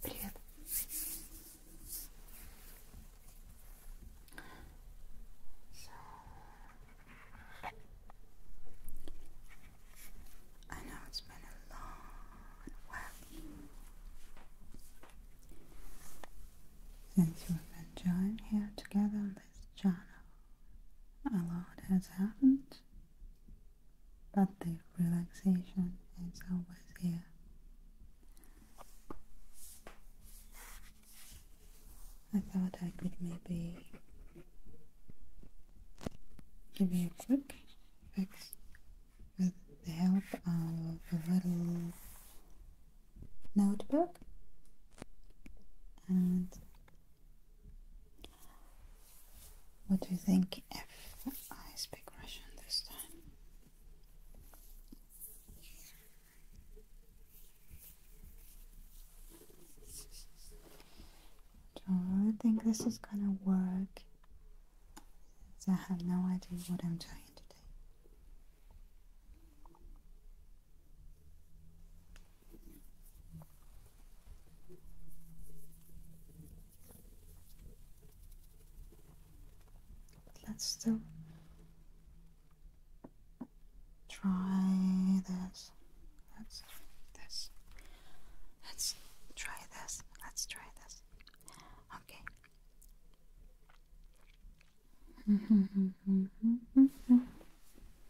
Привет. I know it's been a long while since we've been joined here together on this channel. A lot has happened but the relaxation is always here. I thought I could maybe give you a quick fix with the help of a little notebook and what do you think if I speak Russian this time? I don't really think this is gonna work. I have no idea what I'm trying to do. Let's still try this. Let's this. Let's try this. Let's try this. Okay.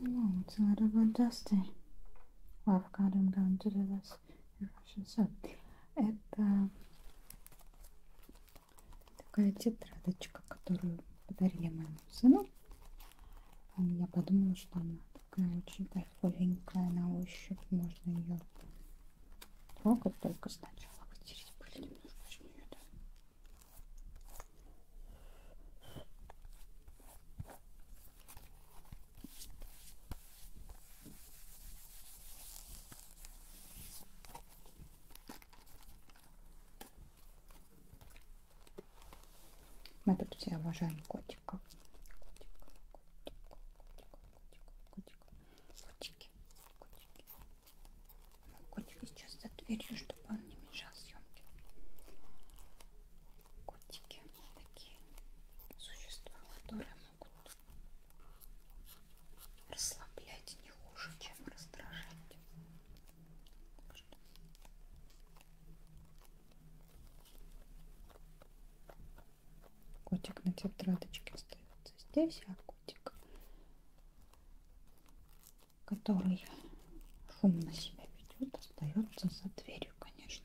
No, it's a little bit dusty. Well, I've got them down to the last Russian. So, это такая тетрадочка, которую подарили моему сыну. А я подумала, что она такая очень кайфовенькая на ощупь. Можно ее трогать только сначала. Потереть пыль немножко. Очень мне это мы тут все обожаем котиков. Котиков, котиков, котиков, котиков, котиков, котики, котики, Котика сейчас за дверью, чтобы он не мешал съемке. Котики такие существа, которые могут расслаблять не хуже, чем раздражать. Котик на тетрадочке остается здесь, а котик который шумно себя ведет, остается за дверью, конечно.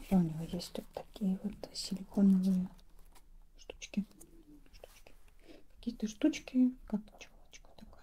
Еще у него есть вот такие вот силиконовые штучки. штучки. Какие-то штучки, как чулочка такая.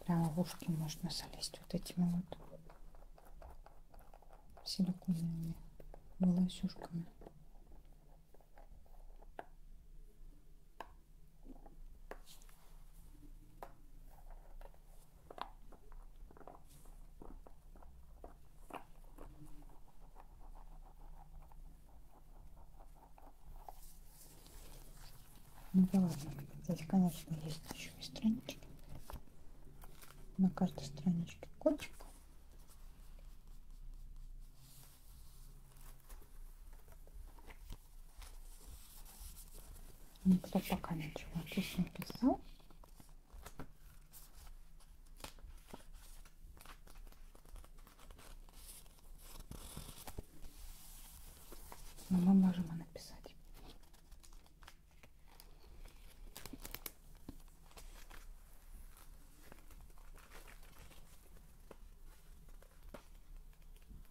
Прямо в ушки можно залезть вот этими вот силиконовыми волосюшками. Ну да ладно, здесь, конечно, есть еще и странички. На каждой страничке кодчик. Никто пока ничего здесь не писал. Но мы можем и написать.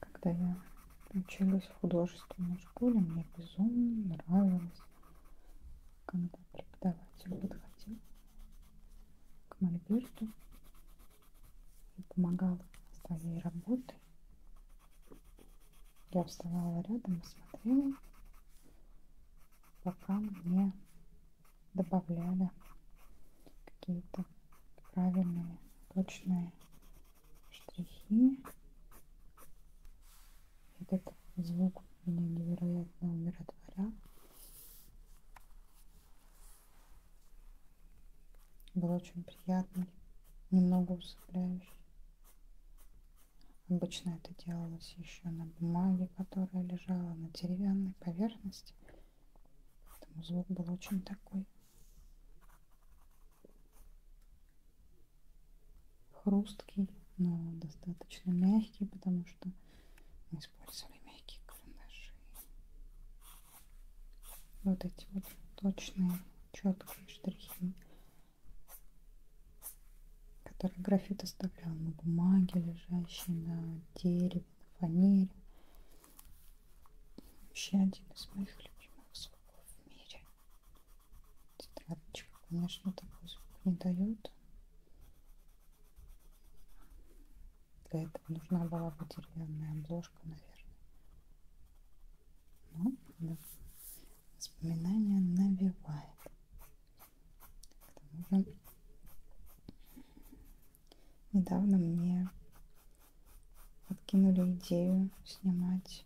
когда я училась в художественной школе, мне безумно нравилось, когда преподаватель подходил к мольберту и помогал своей работой. Я вставала рядом и смотрела, пока мне добавляли какие-то правильные, точные штрихи. Этот звук меня невероятно умиротворял. Был очень приятный, немного усыпляющий. Обычно это делалось еще на бумаге, которая лежала на деревянной поверхности. Там звук был очень такой хрусткий, но достаточно мягкий, потому что мы использовали мягкие карандаши. Вот эти вот точные, четкие штрихи, которые графит оставлял на бумаге, лежащей на дереве фанере. фанере. Вообще один из моих любимых звуков в мире. Тетрадочка, конечно, такой звук не дает. Для этого нужна была бы деревянная обложка, наверное. Но ну, да, воспоминания навевает. К тому же Недавно мне подкинули идею снимать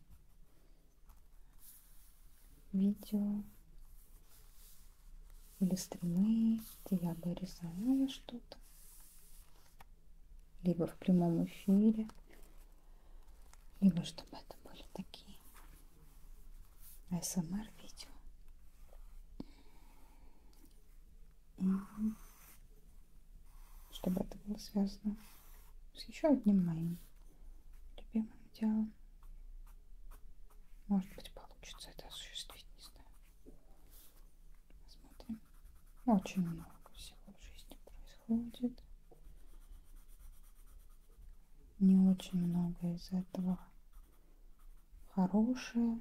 видео или стримы, где я бы рисовала что-то, либо в прямом эфире, либо чтобы это были такие АСМР эм видео чтобы это было связано с еще одним моим любимым делом. Может быть, получится это осуществить, не знаю. Посмотрим. Очень много всего в жизни происходит. Не очень много из этого хорошее.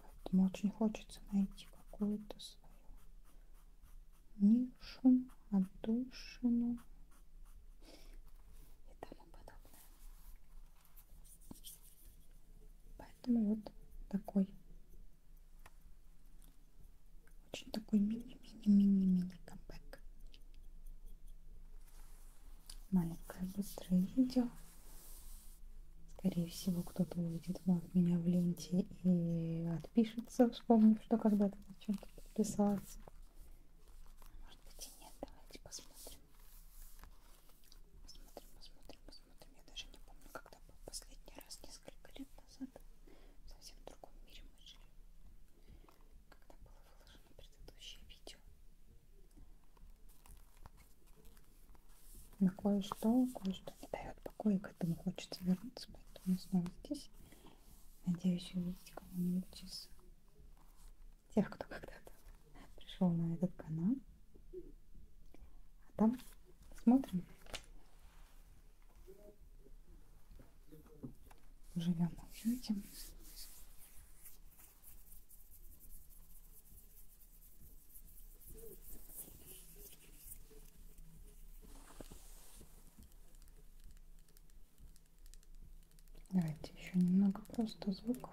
Поэтому очень хочется найти какую-то свою нишу, отдушину и тому подобное. Поэтому вот такой очень такой мини-мини-мини-мини камбэк маленькое быстрое видео. Скорее всего, кто-то увидит от меня в ленте и отпишется, вспомнив, что когда-то на чем-то подписался. Может быть и нет, давайте посмотрим. Посмотрим, посмотрим, посмотрим. Я даже не помню, когда был последний раз, несколько лет назад. В совсем другом мире мы жили когда было выложено предыдущее видео. На кое-что, кое-что не дает покоя, к этому хочется вернуться, поэтому снова здесь. Надеюсь увидеть кого-нибудь из тех, кто когда-то пришел на этот канал. А там смотрим. Живем в уюте. Давайте еще немного просто звуков.